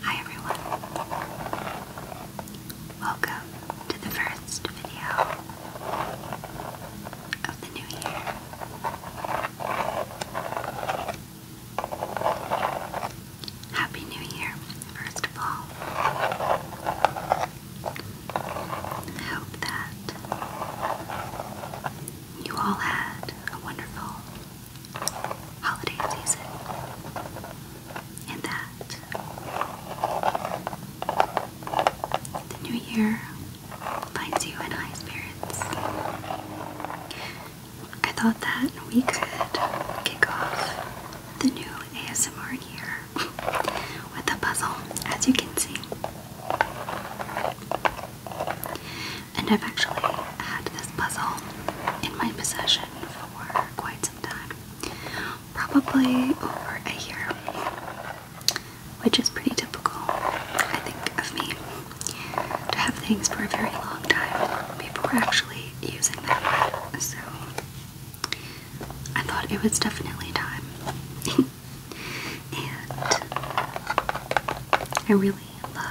Hi everyone. Welcome to the first video of the new year. Happy New Year, first of all. hope that you all had a wonderful holiday season. And that the new year finds you in high spirits. I thought that we could kick off the new ASMR year with a puzzle, as you can see. And I've actually had this puzzle in my possession for quite some time. Probably over a year. Which is pretty typical, I think, of me. To have things for a very long time. before actually using them. So I thought it was definitely time. and I really love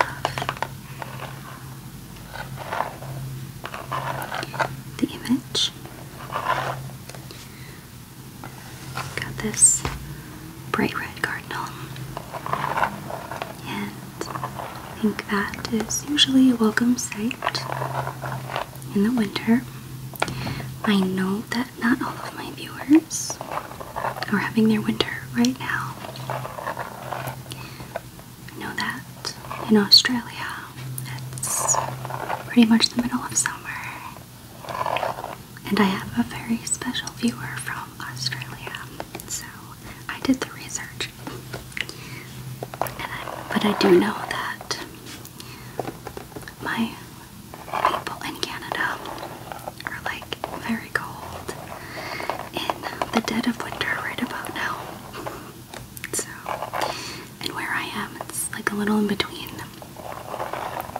the image. Got this bright red cardinal, and I think that is usually a welcome sight in the winter. I know that not all of my viewers are having their winter right now. I know that in Australia it's pretty much the middle of summer. And I have a very special viewer from Australia, so I did the research. but I do know that my people in Canada are like very cold in the dead of winter right about now. So, and where I am, it's like a little in between.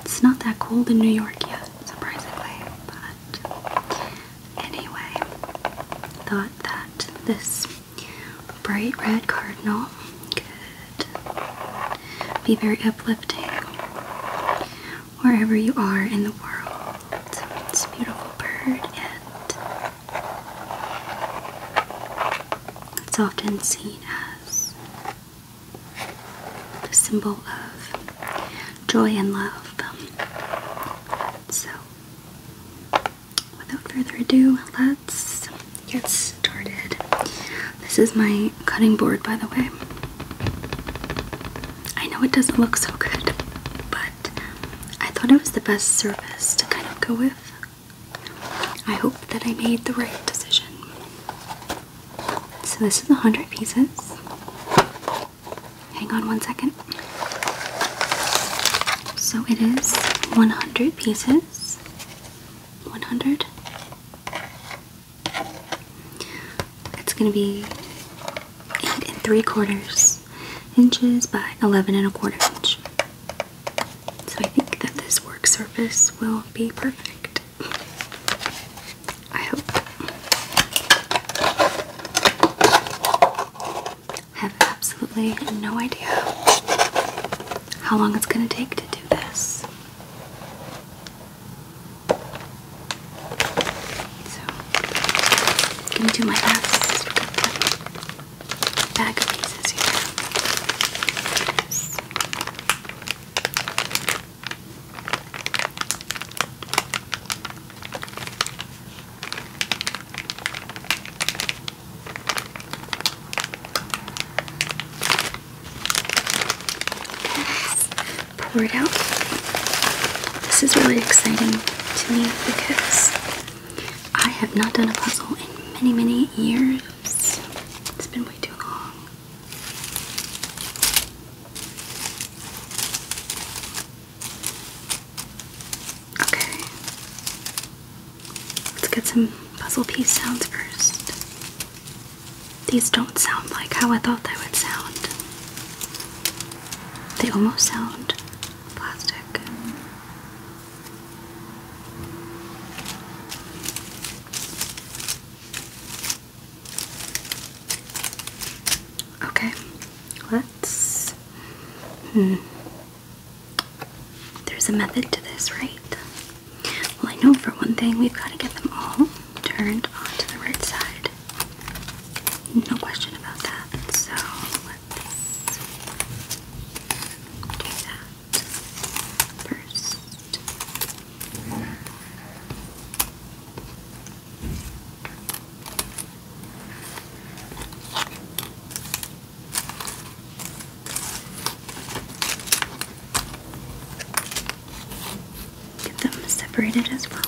It's not that cold in New York yet, surprisingly, but anyway, thought that this bright red cardinal could be very uplifting wherever you are in the world. It's a beautiful bird and it's often seen as the symbol of joy and love. So, without further ado, let's get started. This is my cutting board, by the way. I know it doesn't look so good, but I thought it was the best service to kind of go with. I hope that I made the right decision. So, this is 100 pieces. Hang on one second. So, it is 100 pieces. 100. It's going to be 8 and 3 quarters inches by 11 and a quarter inch. So I think that this work surface will be perfect. I hope. have absolutely no idea how long it's going to take to do this. So, I'm gonna do my last bag of pieces here pour it out. This is really exciting to me because I have not done a puzzle in many, many years. It's been way too long. Okay. Let's get some puzzle piece sounds first. These don't sound like how I thought they would sound. They almost sound plastic. Okay, let's. Hmm. There's a method to this, right? Well, I know for one thing, we've got to get them all turned on to the right side. No question about that. So do that first. Get them separated as well.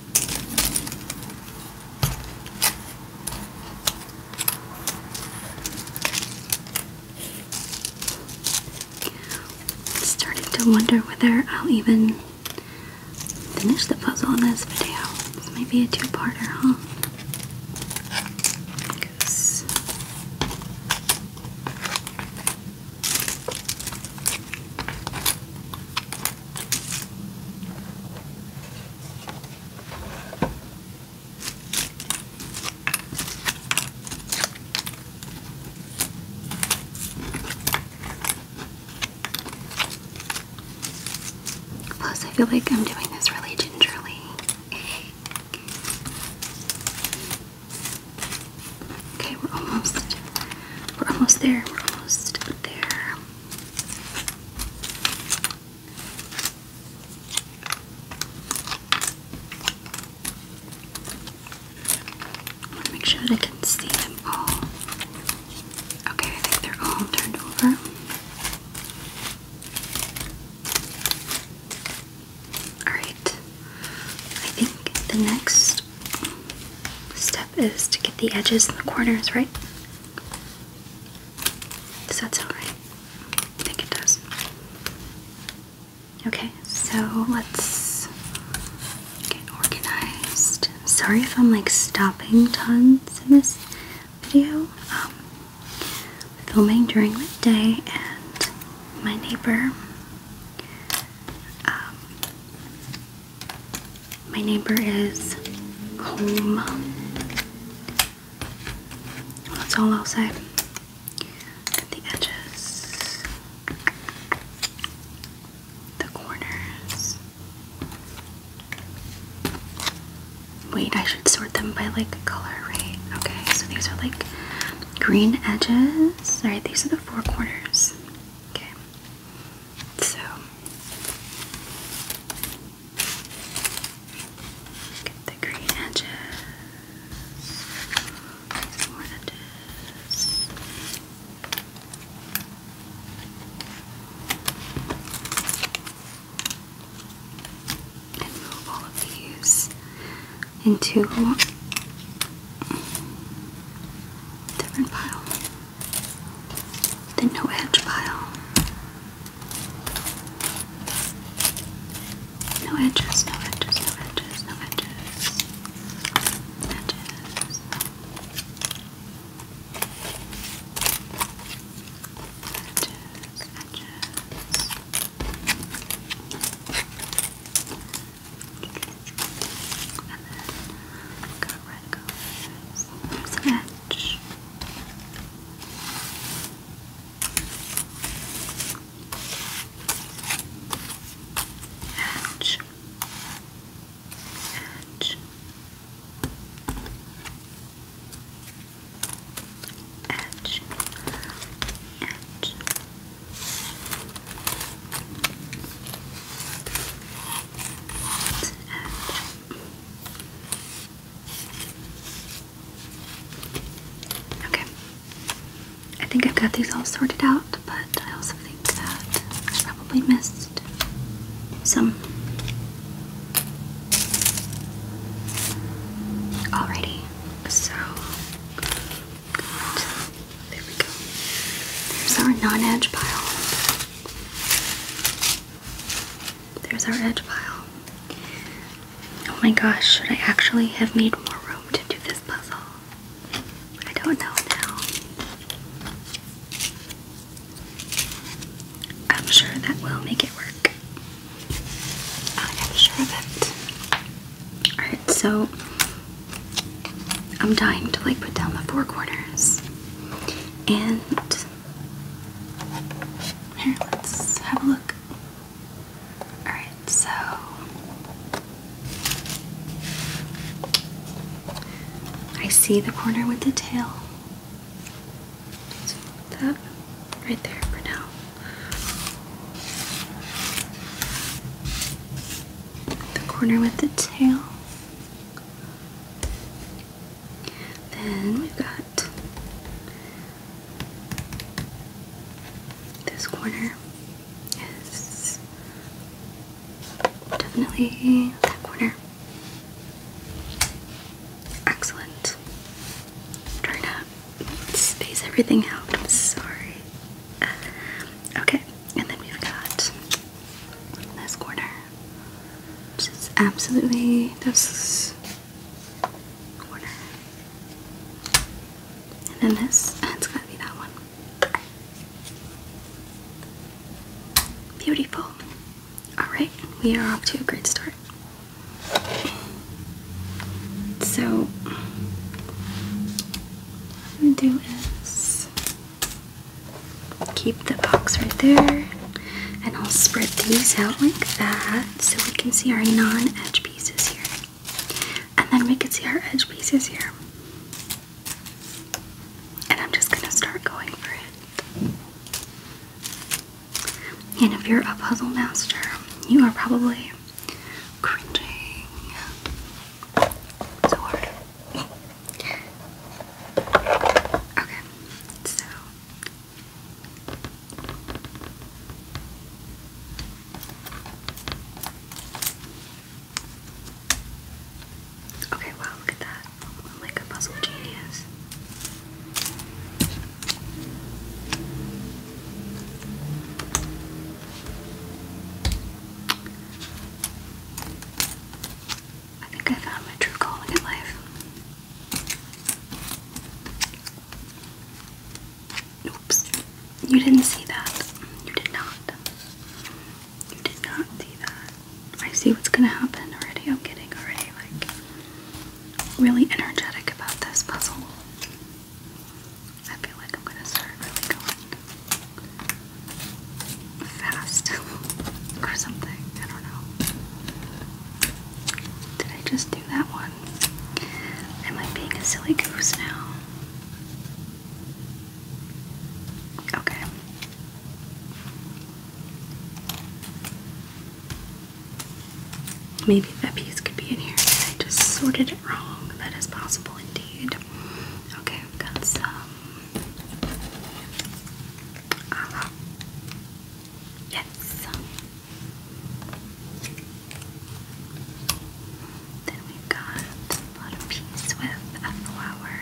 Starting to wonder whether I'll even finish the puzzle in this video. Maybe a two-parter, huh? Because Plus, I feel like I'm doing this really gingerly. Okay, we're almost, we're almost there. We're almost there. I want to make sure that I can see them all. Okay, I think they're all turned over. Alright, I think the next step is to get the edges and the corners, right? Does that sound right? I think it does. Okay, so let's get organized. Sorry if I'm like stopping tons in this video. Um, filming during the day, and my neighbor um, my neighbor is home. That's it's all outside. Got the edges, the corners. Wait, I should sort them by like color, right? Okay, so these are like green edges. Alright, these are the four corners. Okay. So get the green edges, more edges. And move all of these into different pile the no edge pile. No edges, no edges, no edges, no edges. Edges. Edges, And then go red, go red. There's an edge. Edge. Edge. Edge. Edge. Okay. I think I've got these all sorted out, but I also think that I probably missed some. Alrighty, so There we go. There's our non edge pile. There's our edge pile. Oh my gosh, should I actually have made more room to do this puzzle? I don't know now. I'm sure that will make it work. I am sure of it. Alright, so I'm dying to like put down the four corners. And here, let's have a look. Alright, so I see the corner with the tail. that right there for now. The corner with the tail. Then we've got this corner is definitely that corner. Excellent. I'm to space everything out. sorry. okay, and then we've got this corner. Just absolutely this corner. And then this, it's gotta be that one. Beautiful. Alright, we are off to a great start. So, what I'm gonna do is Keep the box right there. And I'll spread these out like that so we can see our non-edge pieces here. And then we can see our edge pieces here. And I'm just gonna start going for it. And if you're a puzzle master, you are probably cringing so hard. Okay, so Okay, wow, look at that. I'm like a puzzle genius. I think I found my true calling in life. Oops. You didn't see that. You did not. You did not see that. I see what's gonna happen already. I'm getting already like really energetic about this puzzle. I feel like I'm gonna start really going fast or something. I don't know. Did I just do that one? Am I being a silly goose now? Okay. Maybe that piece could be in here. I just sorted it wrong. That is possible indeed. Okay, I've got some uh -huh. Yes. Then we've got a lot with a flower.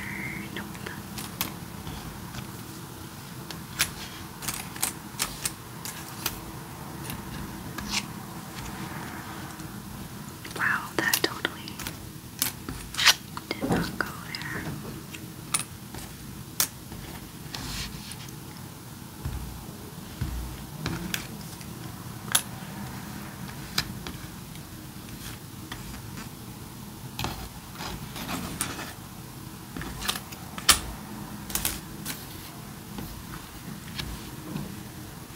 Wow, that totally did not go there.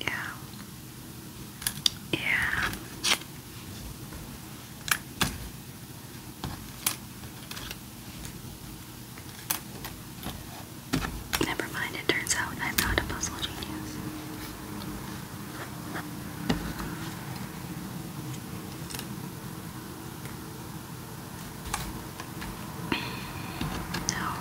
Yeah. Yeah. Never mind, it turns out I'm not a puzzle genius. no.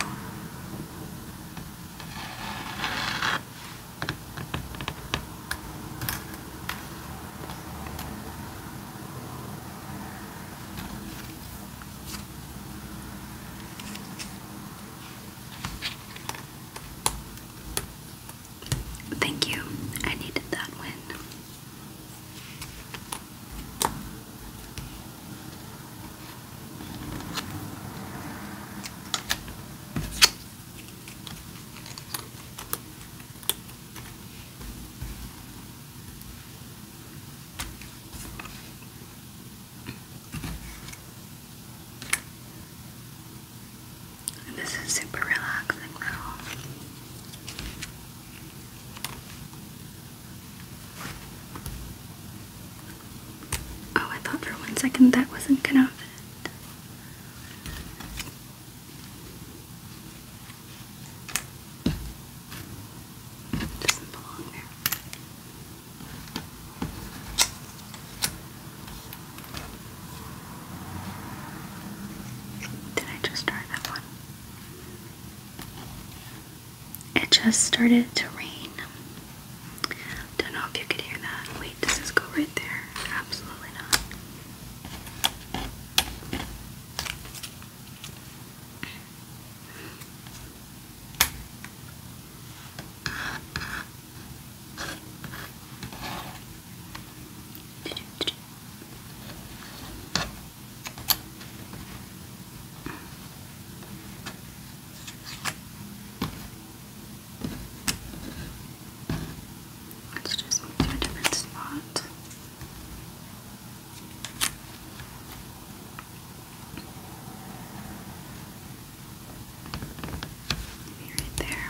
Thank you. I needed that win. This is super relaxing now. Oh, I thought for one second that wasn't gonna fit. doesn't belong there. Did I just try that one? It just started to rain. Don't know if you could hear that. Wait, does this go right there? Absolutely not. Let's just move to a different spot. Maybe right there.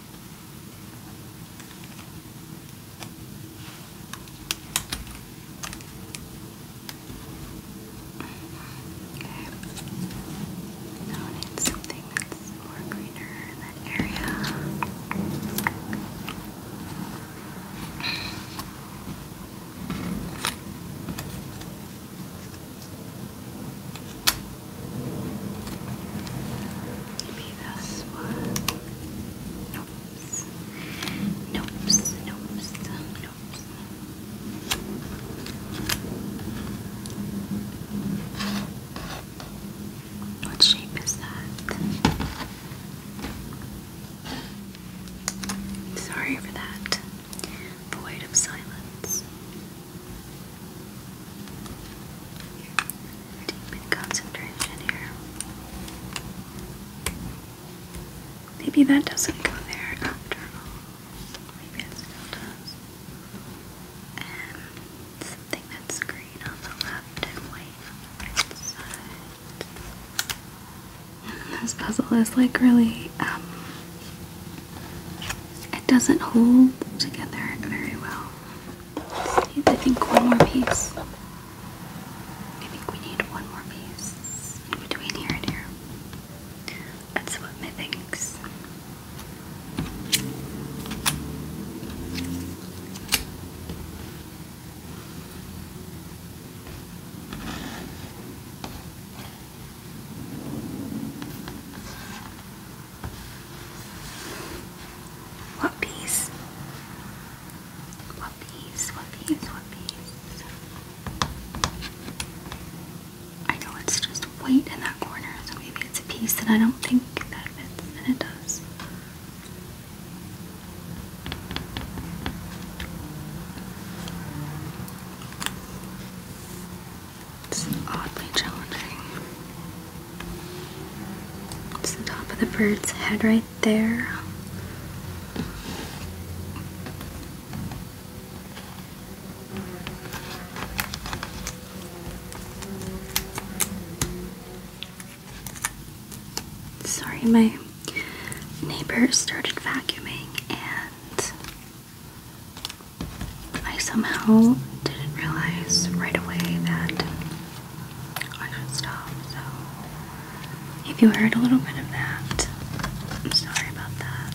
Okay. Now need something that's more greener in that area. Maybe this one. Nope. Nope. Nope. Nope. What shape is that? Sorry for that. Void of silence. Deep in concentration here. Maybe that doesn't go there after all. Maybe it does. And something that's green on the left and white on the side. This puzzle is like really, um, it doesn't hold together very well. I think, one more piece. I think we need one more piece between here and here. That's what my thinks. Whoopies. Whoopies, whoopies, whoopies. I know it's just white in that corner, so maybe it's a piece that I don't think that fits, and it does. It's oddly challenging. It's the top of the bird's head right there. Sorry, my neighbor started vacuuming and I somehow didn't realize right away that I should stop. So, if you heard a little bit of that, I'm sorry about that.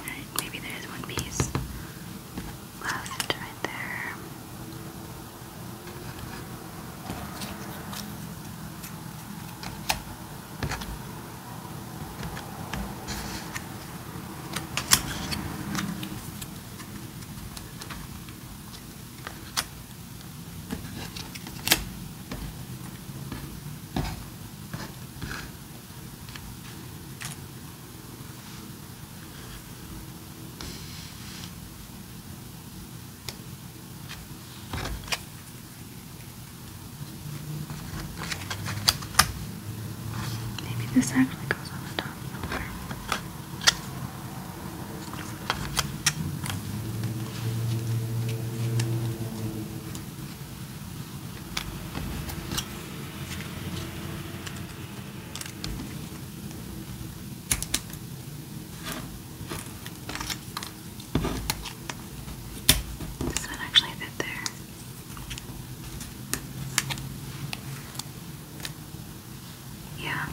Alright, maybe there is one piece left right there. Maybe this actually goes on the top does that actually fit there? Yeah.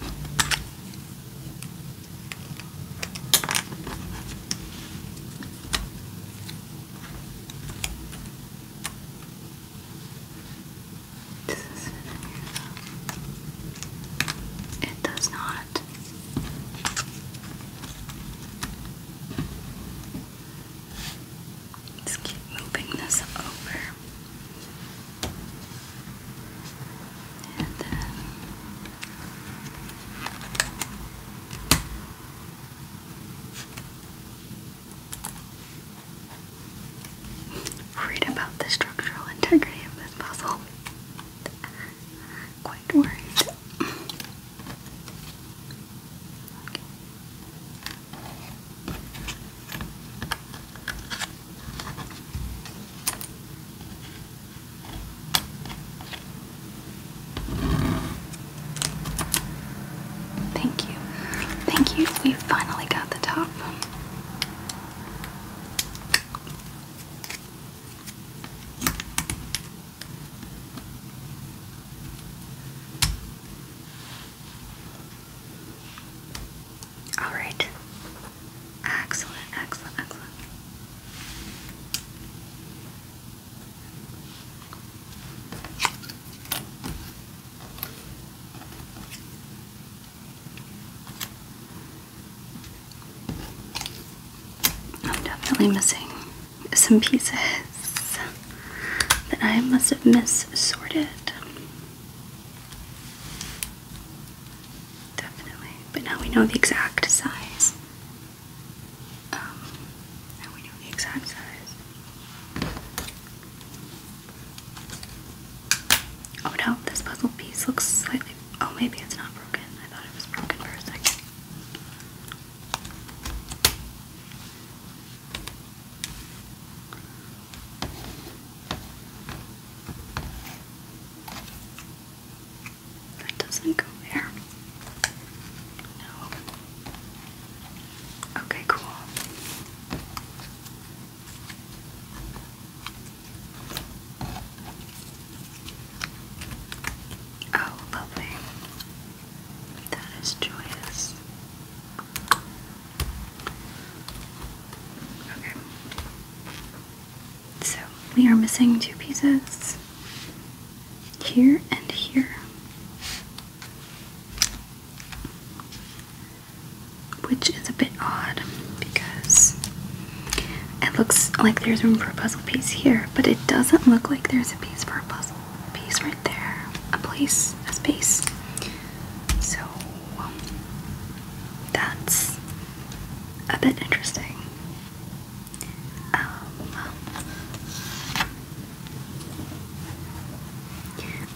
It does not. Let's keep moving this over. And then Read about the structural integrity of this puzzle. Quite worried. Thank you. Thank you. We finally got the top. All right. Excellent, excellent, excellent. I'm definitely missing some pieces that I must have missorted. Definitely. But now we know the exact size. Um, now we know the exact size. Oh no, this puzzle piece looks slightly. Oh, maybe it's not broken. I thought it was broken for a second. That doesn't go there. No. Okay, cool. Oh, lovely. That is joyous. Okay. So we are missing two pieces here and here. Which is a bit odd because it looks like there's room for a puzzle piece here, but it doesn't look like there's a piece for a puzzle piece right there. A place, a space. So um, that's a bit interesting. Um,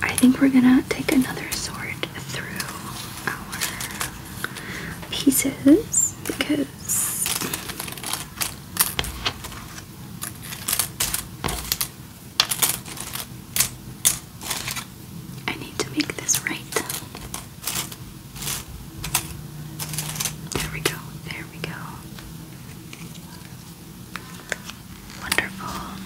I think we're gonna take another sort through our pieces because I need to make this right. There we go, there we go. Wonderful.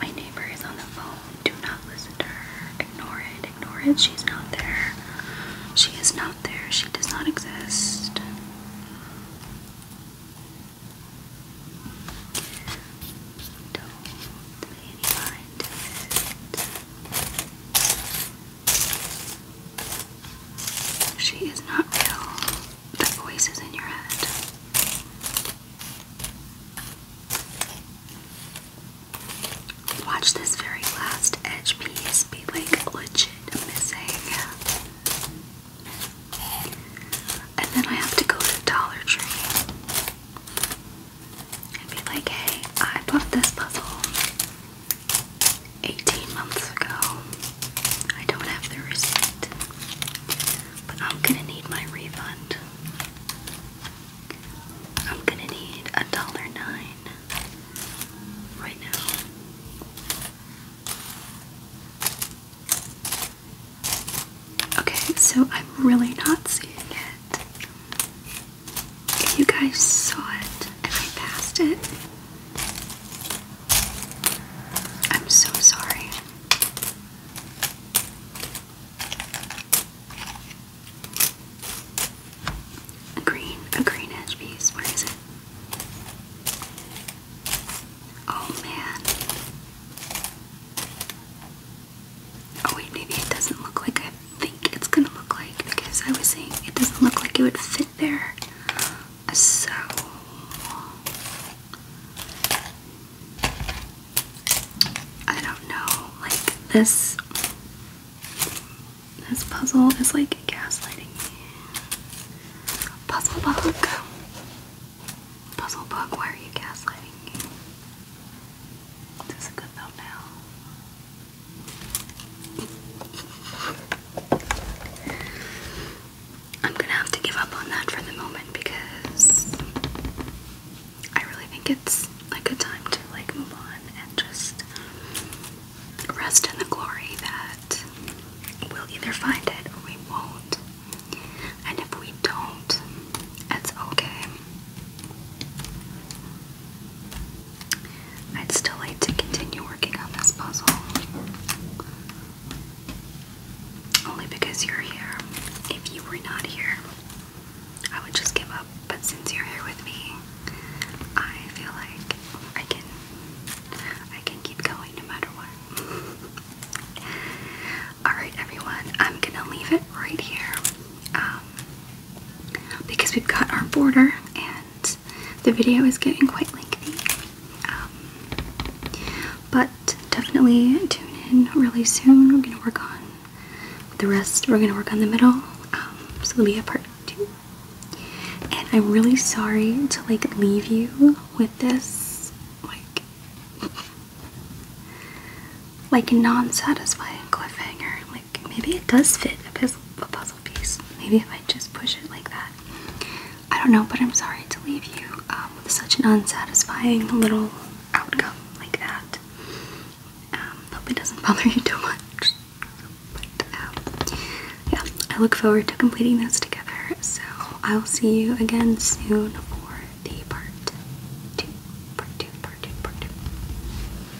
My neighbor is on the phone. Do not listen to her. Ignore it. Ignore it. She's not there. She is not there. She does not exist. Don't pay any mind it. She is not real. The voice is in your head. Watch this very last edge piece be like legit missing. And then I have to go to Dollar Tree and be like, hey, I bought this puzzle. 18 months ago. I don't have the receipt, but I'm gonna need my refund. I'm gonna need a dollar nine right now. Okay, so I'm really not seeing it. If you guys saw it and I passed it, I'm so sorry. A green, a green edge piece. Where is it? Oh man. Oh wait, maybe it doesn't look like I think it's gonna look like because I was saying it doesn't look like it would fit there. So I don't know. Like this this puzzle is like gaslighting me. Puzzle bug. Puzzle bug, why are you gaslighting me? Is a good thumbnail? I'm gonna have to give up on that for the moment because I really think it's a good time to like move on and just rest in the glory that we'll either find it or we won't. And if we don't, that's okay. I'd still like to continue working on this puzzle. Only because you're here. If you were not here, I would just give up. But since you're here with me, I feel like I can I can keep going no matter what. Alright everyone, I'm gonna leave it right here. Um, because we've got our border and the video is getting quite lengthy. Um, but definitely tune in really soon. We're going to work on the rest. We're going to work on the middle. Um, so there'll be a part two. And I'm really sorry to like leave you with this like like non-satisfying cliffhanger maybe it does fit a puzzle, piece. Maybe if I just push it like that. I don't know, but I'm sorry to leave you um, with such an unsatisfying little outcome like that. Um, hope it doesn't bother you too much. Um, yeah, I look forward to completing this together. So I'll see you again soon for the part two, part two, part two, part two.